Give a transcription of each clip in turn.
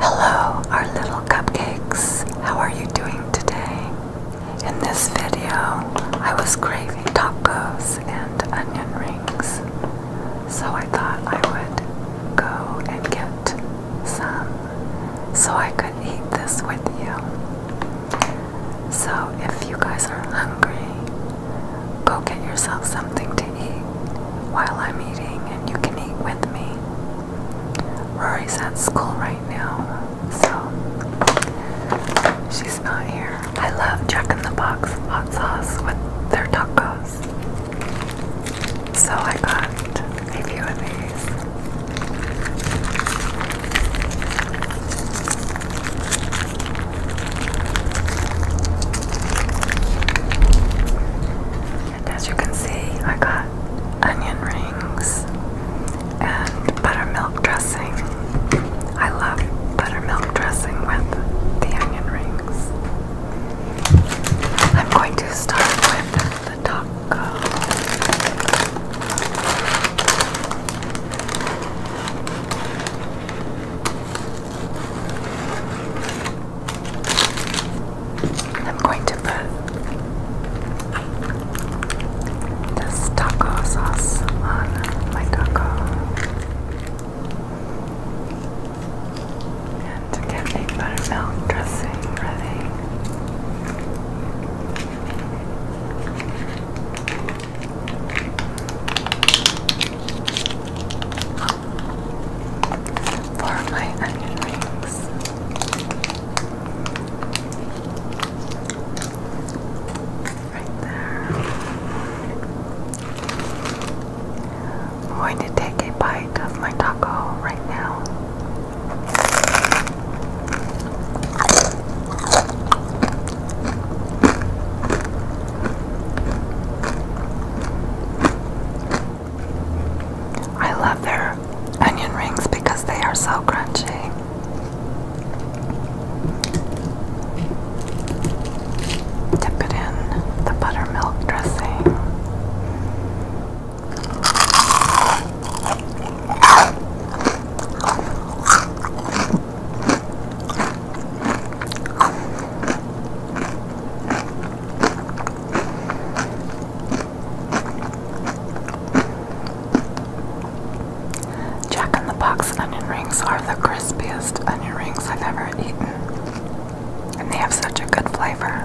Hello, our little cupcakes. How are you doing today? In this video, I was craving tacos and onion rings, so I thought I would go and get some so I could eat this with you. So, if you guys are hungry, go get yourself something to eat eat while I'm eating, and you can eat with me. Rory's at school right now, so she's not here. I love Jack in the Box hot sauce with their tacos. So I got a few of these. And as you can see, I got onion rings and buttermilk dressing. I love buttermilk dressing with the onion rings. I'm going to start with the taco. I'm going to put this taco sauce on my taco and to get a buttermilk dressing ready for my onion rings. Right there. I'm going to take a bite of my taco right now. I love their onion rings because they are so crunchy. Dip it in the buttermilk dressing. Jack and the Box onion rings are the crispiest onion rings I've ever eaten, and they have such a good flavor.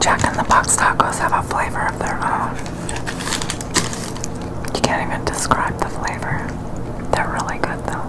Jack and the Box tacos have a flavor of their own. You can't even describe the flavor. They're really good though.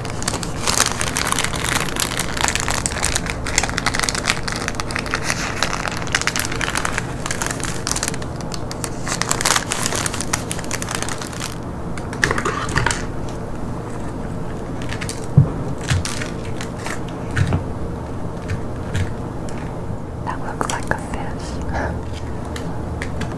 That looks like a fish.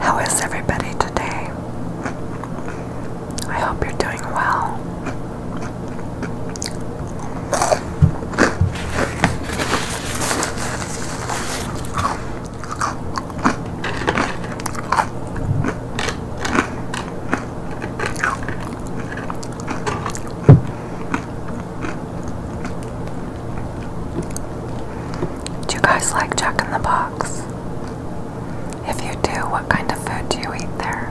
How is everybody today? I hope you're doing well. Do you guys like Jack in the Box? If you do, what kind of food do you eat there?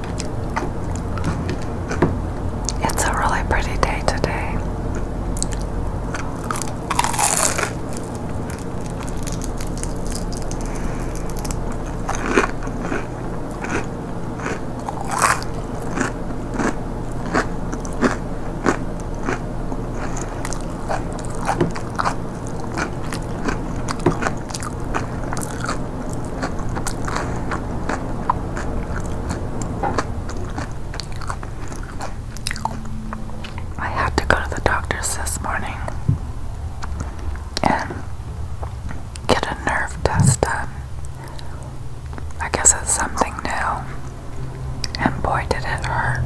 It's a really pretty day today. I had to go to the doctor's this morning and get a nerve test done. I guess it's something new, and boy, did it hurt.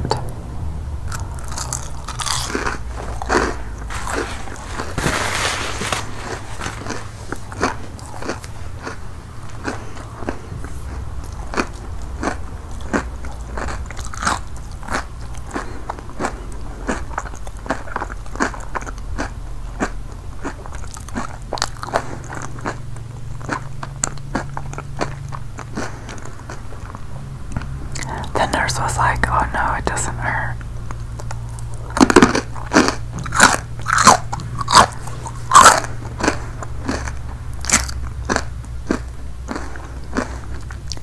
The nurse was like, Oh no, it doesn't hurt.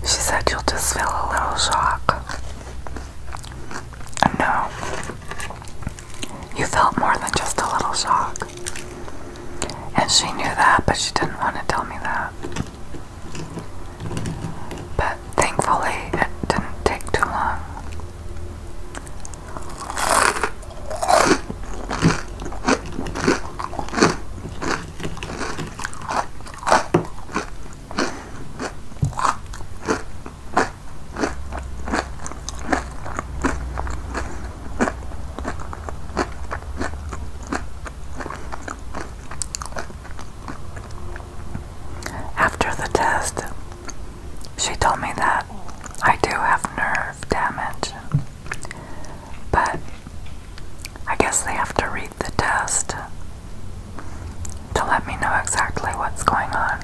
She said you'll just feel a little shock. And no, you felt more than just a little shock. And she knew that, but she didn't want to tell me that. But thankfully, it didn't take too long. After the test, she told me that I do have nerve damage, but I guess they have to read the test to let me know exactly what's going on.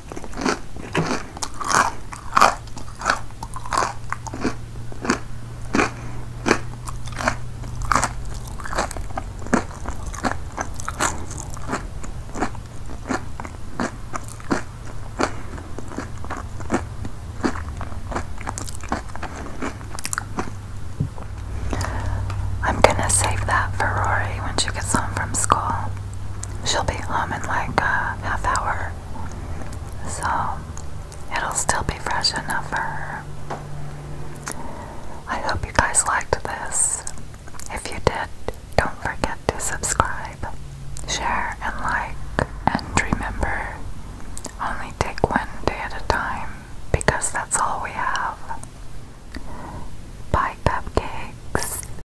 I'm gonna save that for Rory when she gets home from school she'll be home in like a half hour. So it'll still be fresh enough for her. I hope you guys liked this. If you did, don't forget to subscribe, share, and like. And remember, only take one day at a time because that's all we have. Bye, cupcakes.